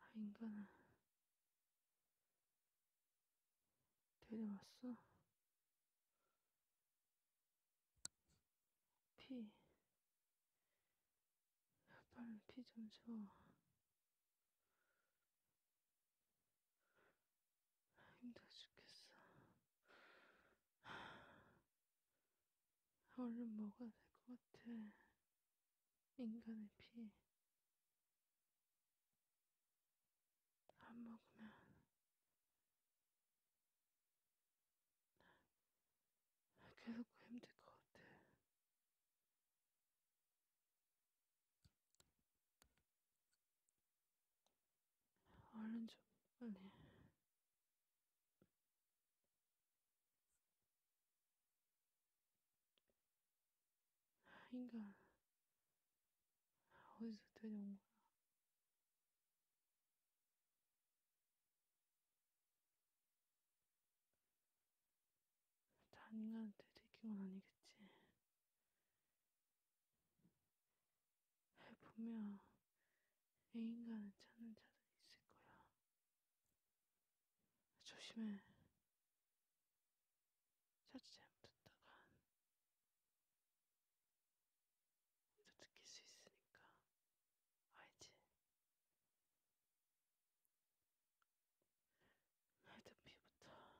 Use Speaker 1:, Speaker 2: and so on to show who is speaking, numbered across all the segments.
Speaker 1: 아, 인간은 데려왔어. 피 빨리 피 좀 줘. 힘들어 죽겠어. 얼른 먹어야 될 것 같아. 인간의 피. 안 먹으면 계속 그 힘들 것 같아. 얼른 좀 빨리. 네. 인간 어디서 데려온 거야? 난 인간한테 들킨 건 아니겠지. 분명 애인간을 찾는 자들 있을 거야. 조심해. 자주 잘못했다간 우리도 느낄 수 있으니까 알지? 하여튼 피부터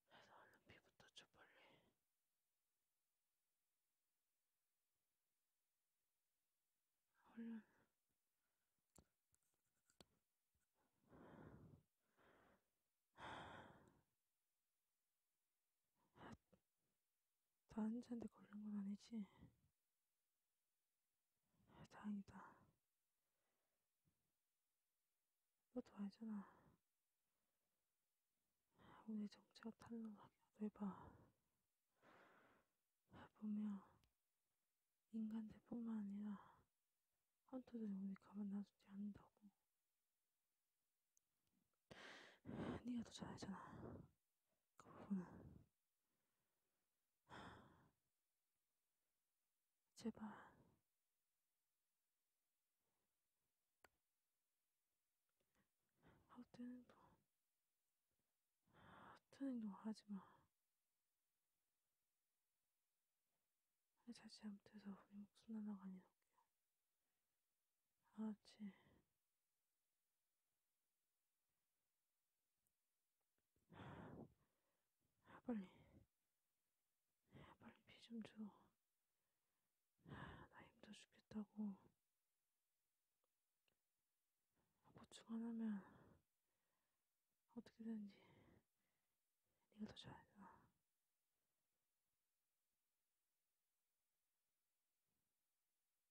Speaker 1: 그래서 얼른 피부터 좀 빨리 얼른 다른 아, 자한테 걸린 건 아니지? 다행이다. 너도 알잖아. 우리 정체가 탄로나게 해봐. 보면 인간들뿐만 아니라 헌터들이 우리 가만 놔두지 않는다고. 네가 더 잘하잖아. 그 부분은. 제발. 어떤 행동, 어떤 행동 하지 마. 자칫 잘못해서 우리 목숨 날아가니, 어떡해. 알았지. 빨리, 빨리 피 좀 줘. 나 힘들어 죽겠다고. 보충 안 하면 어떻게 되는지 네가 더 잘 알아.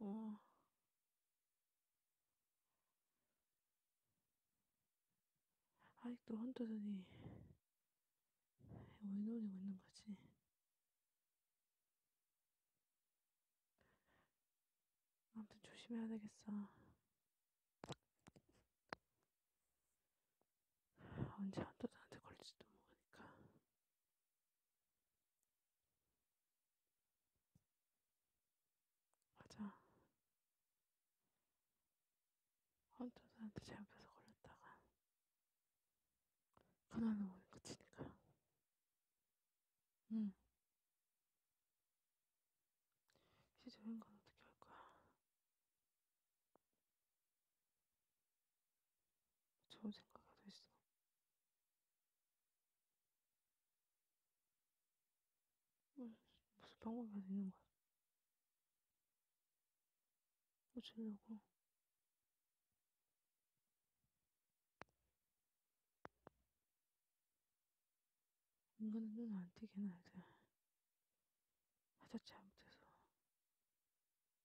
Speaker 1: 어, 아직도 혼자더니 왜 놀리고 있는 거지? 아무튼 조심해야 되겠어. 언제 한도 나한테 걸릴지도 모르니까. 맞아. 헌터사한테 잘못해서 걸렸다가 가난한 오는 끝이니까. 응. 시조인 건 어떻게 할 거야? 좋은 생각이 있어. 무슨 방법이 있는 거야? 고치려고. 뭐 인간은 눈안 띄게 놔야 돼. 하자치 잘못해서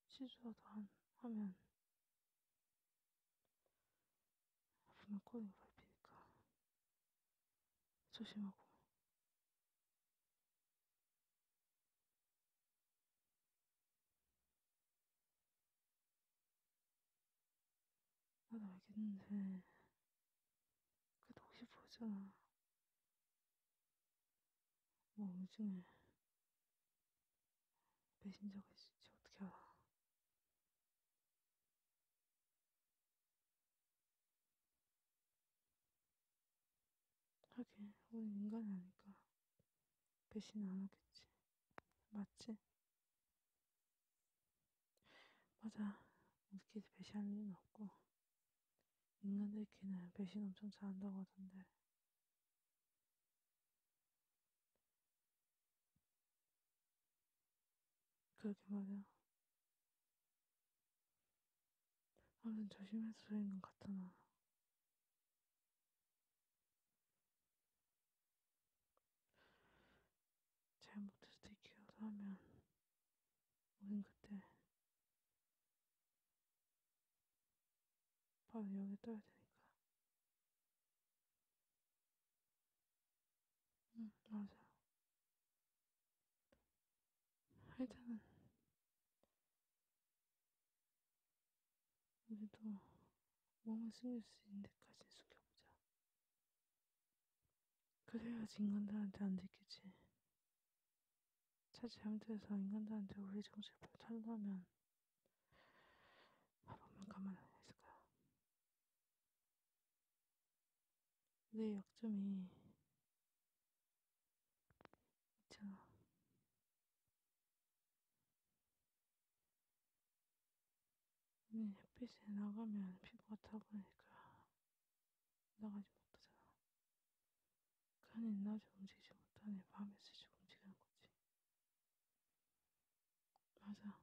Speaker 1: 취소하다 하면 아프면 꼬리가 밟히니까 조심하고 나도 알겠는데 그래도 혹시 모르잖아 뭐 오징을 배신자가 있을지 어떻게 알아? 하긴 우리 인간이 아니까 배신 안 하겠지 맞지? 맞아 우리끼리 배신할 일은 없고 인간들끼리는 배신 엄청 잘한다고 하던데 그러게 말이야. 아무튼 조심해서 저희는 갔잖아. 잘못해서 되게 기어서 하면 우린 그때 바로 여기 떠야 되니까 응 맞아 일단은 우리도 몸을 숨길 수 있는 데까지 숨겨보자 그래야지 인간들한테 안 들키지 차지 잘못해서 인간들한테 우리 정체를 탈라면 한 번만 가만 안 있을까요? 내 약점이 있잖아. 우린 햇빛에 나가면 피부가 타버리니까 나가지 못하잖아. 그러니 낮에 움직이지 못하니 밤에 스치 움직이는 거지. 맞아.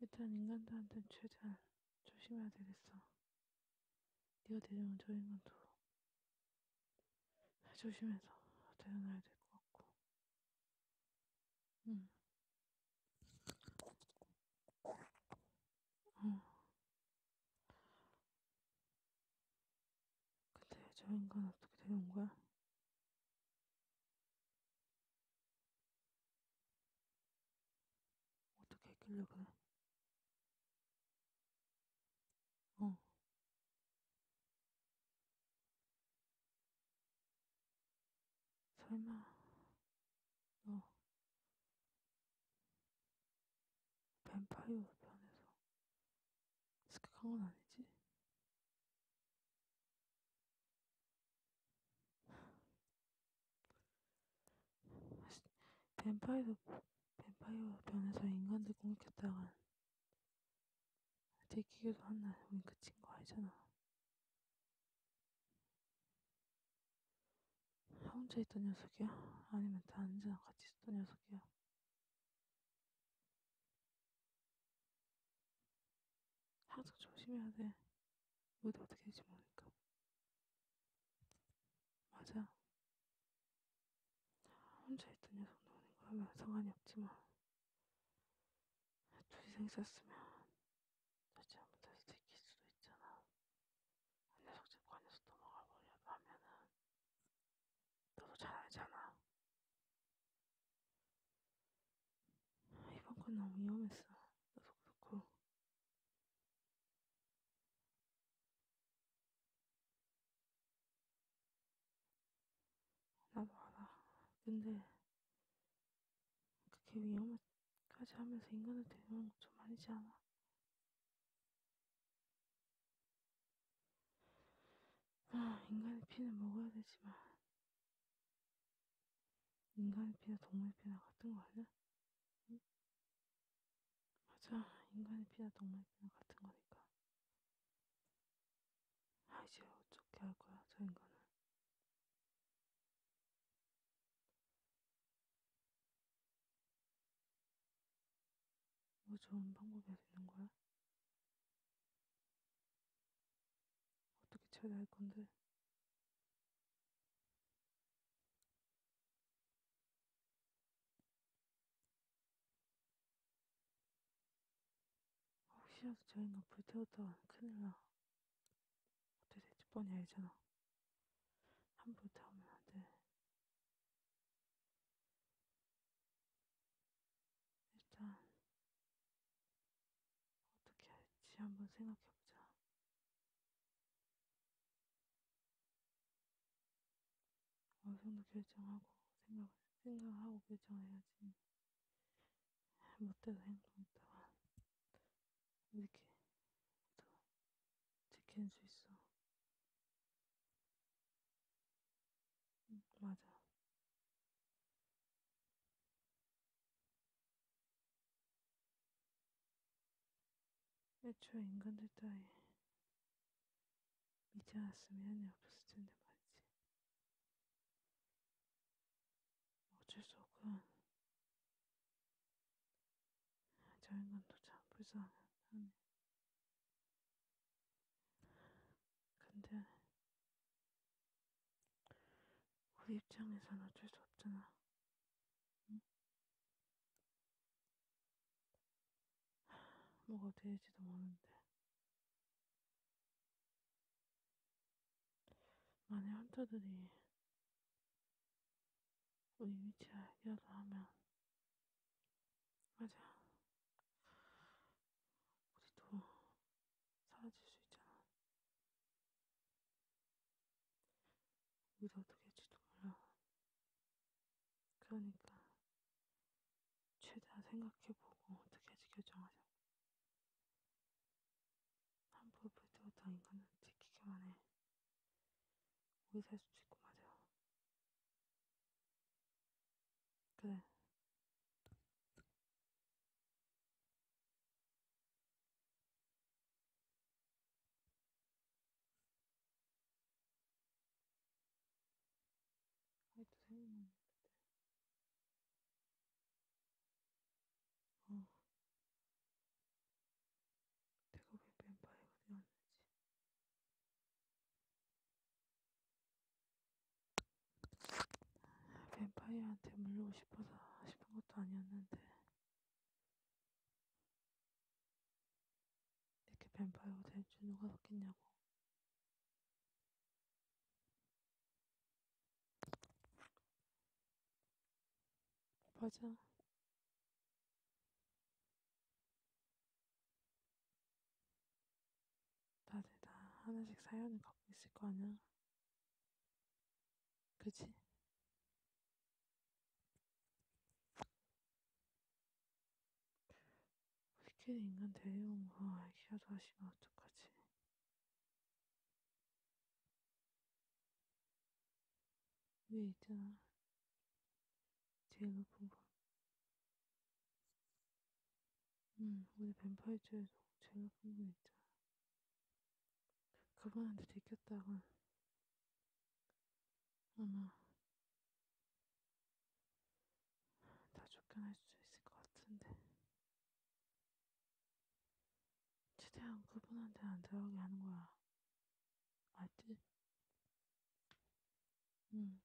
Speaker 1: 일단 인간들한텐 최대한 조심해야 되겠어. 네가 데려온 저 인간도 조심해서 데려놔야 될 것 같고. 음. 어. 근데 저 인간 어떻게 되는 거야? 어떻게 했길래 그래? 어. 설마 너 뱀파이어 변해서 습격한 건 아니지? 뱀파이어 뱀파이어 변해서 인간들 공격했다간 들키기도 한날 우린 그친 거 알잖아. 혼자 있던 녀석이야? 아니면 단지랑 같이 있던 녀석이야? 항상 조심해야 돼. 뭐도 어떻게 될지 모르니까. 맞아. 혼자 있던 녀석 노는 거라면 상관이 없지만 초희생 썼으면 자칫 못해서 들킬 수도 있잖아. 그 녀석 집관에서 도망가 보려고 하면은 너도 잘 알잖아. 이번 건 너무 위험했어. 너도 그렇고. 나도 알아. 근데 그렇게 그러니까 위험까지 하면서 인간을 대우하는 건좀 아니지 않아? 아, 인간의 피는 먹어야 되지만 인간의 피나 동물 피나 같은 거 아니야? 응? 맞아, 인간의 피나 동물 피나 같은 거니까. 아, 이제 어떻게 할 거야, 저 인간을? 뭐 좋은 방법이 있는 거야? 어떻게 처리할 건데? 혹시라도 저희가 불태웠다 큰일 나. 어떻게 될지 뻔히 알잖아. 함부로 타오면 안 돼. 일단 어떻게 할지 한번 생각해보자. 어느 정도 결정하고 생각, 생각하고 결정해야지. 멋대로 행동했다가 이렇게 지켜줄 수 있어. 응, 맞아. 애초에 인간들 따위 믿지 않았으면 연애 없었을 텐데 말이지. 어쩔 수 없군. 저 인간도 참 불쌍하네. 근데 우리 입장에선 어쩔 수 없잖아. 응? 뭐가 될지도 모르는데. 만약 헌터들이 우리 위치를 알기라도 하면 맞아 우리도 사라질 수 있잖아 우리도 어떻게 할지도 몰라 그러니까 최대한 생각해보고 어떻게 할지 결정하자 함부로 불태웠던 인간은 지키기만 해. 우리 살수 있고 맞아. 그래. 아직도 생각나는데. 어. 내가 왜 뱀파이어가 되었는지. 뱀파이어한테 물리고 싶어서 싶은 것도 아니었는데. 이렇게 뱀파이어가 될줄 누가 샀겠냐고. 맞아. 다들 다 하나씩 사연을 갖고 있을 거 아니야. 그치? 스킬 인간 대용과 뭐 아이키아도 하시면 어떡하지? 위에 있잖아. 제일 높은 거. 음, 응, 우리 뱀파이어 중에서 제일 높은 거 있잖아. 가방한테 들켰다가 아마 다 쫓겨날 수 있을 것 같은데. 최대한 그분한테 안 들어가게 하는 거야. 알지? 응.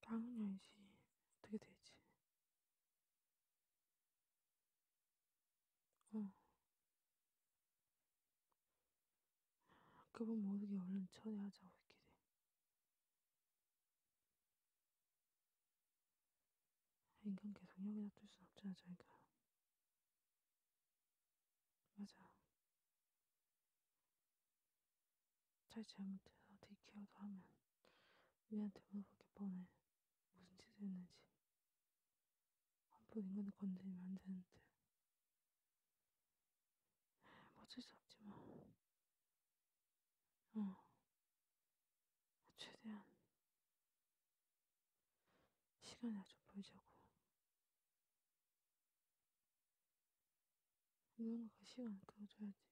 Speaker 1: 당연히 알지. 어떻게 되지? 어. 그분 모르게 얼른 처리하자, 우리끼리. 인간 계속 여기다 둘순 없잖아, 저희가. 맞아. 잘 잘못해서 디케어도 하면 우리한테 물어보게 뻔해. 무슨 짓을 했는지. 함부로 인간을 건드리면 안 되는데. 뭐 어쩔 수 없지 뭐. 어. 최대한 시간이 아주 보이자고 뭔가 그 시간 끌어줘야지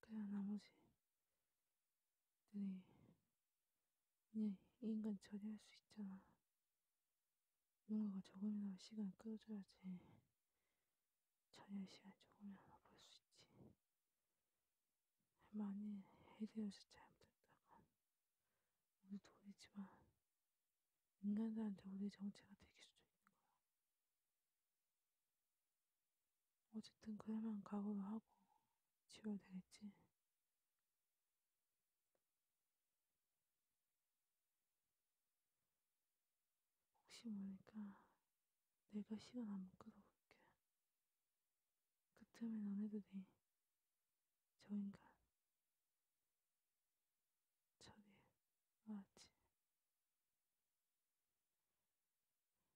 Speaker 1: 그래야 나머지 들이 그냥 인간 처리할 수 있잖아 뭔가 조금이나마 시간 끌어줘야지 자녀의 시간 조금이라도 볼수 있지. 할머니, 헤이데요시 잘못했다간 우리도 우리지만 인간들한테 우리 정체가 되길 수도 있는 거야. 어쨌든 그야만 각오를 하고 지워야 되겠지. 혹시 모르니까 내가 시간 한번 끌어볼게. 그틈에 너네도 네. 저 인간. 저리 알았지.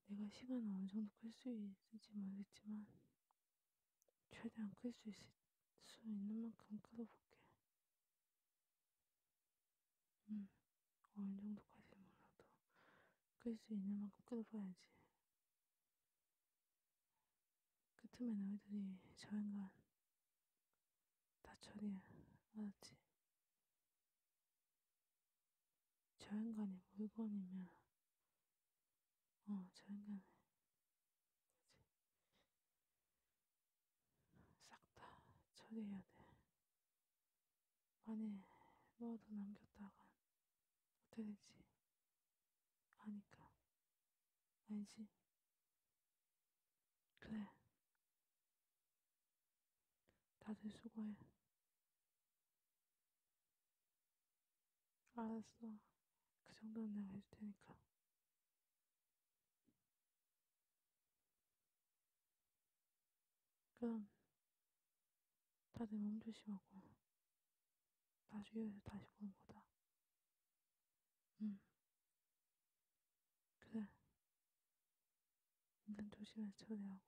Speaker 1: 내가 시간을 어느 정도 끌 수 있을지 모르겠지만 최대한 끌 수 있을 수 있는 만큼 끌어볼게. 음, 어느 정도까지 몰라도 끌 수 있는 만큼 끌어봐야지. 그 틈에 너희들이 저 인간 다 처리해, 알았지? 저 인간이 물건이면, 어, 저 인간이. 싹다 처리해야 돼. 만에 넣어도 남겼다간 어떻게 되지? 아니까. 알지? 그래. 다들 수고해. 알았어. 그 정도는 내가 해줄 테니까. 그럼 다들 몸 조심하고 나중에 다시 보는 거다. 응. 그래. 일단 조심해서 처리하고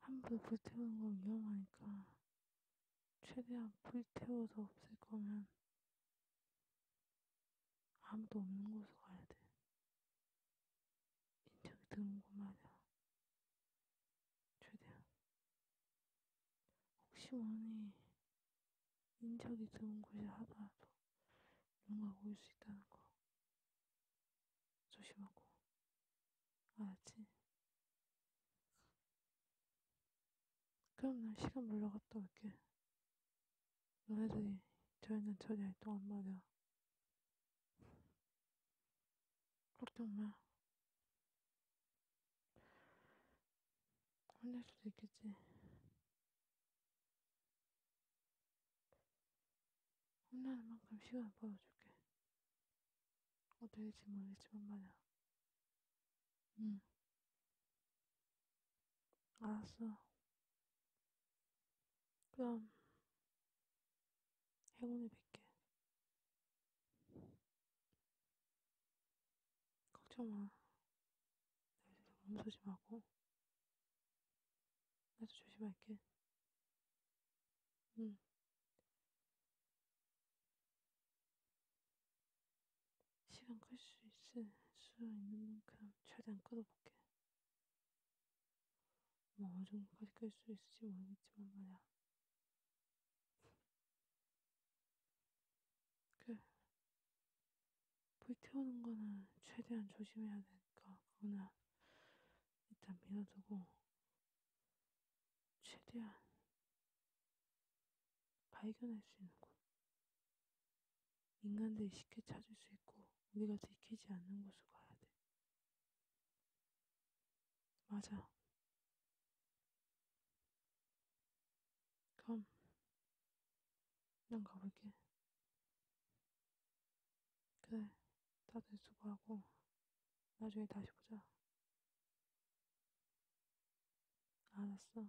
Speaker 1: 함부로 불태우는 건 위험하니까 최대한 불태워서 없을 거면 아무도 없는 곳으로 가야 돼. 인적 드는 거마다 최대한 혹시 원이 인적이 드문 곳이 하더라도 누군가 올수 있다는 거 조심하고 알았지? 그럼 난 시간 물러갔다 올게. 너네들이 저희는 저리 활동한 말이야. 걱정 마. 혼낼 수도 있겠지. 혼나는 만큼 시간을 벌어줄게. 어떻게 될지 모르겠지만 말이야. 응. 알았어. 그럼 행운을 빌게. 걱정 마. 몸 조심하고. 나도 조심할게. 응. 시간 끌 수 있을 수 있는 만큼 최대한 끌어볼게. 뭐 어느 정도까지 끌수 있을지 모르겠지만 말이야. 그, 불 태우는 거는 최대한 조심해야 되니까, 그거는 일단 밀어두고, 최대한 발견할 수 있는 곳. 인간들이 쉽게 찾을 수 있고 우리가 들키지 않는 곳으로 가야 돼. 맞아. 그럼 난 가볼게. 그래, 다들 수고하고 나중에 다시 보자. 알았어.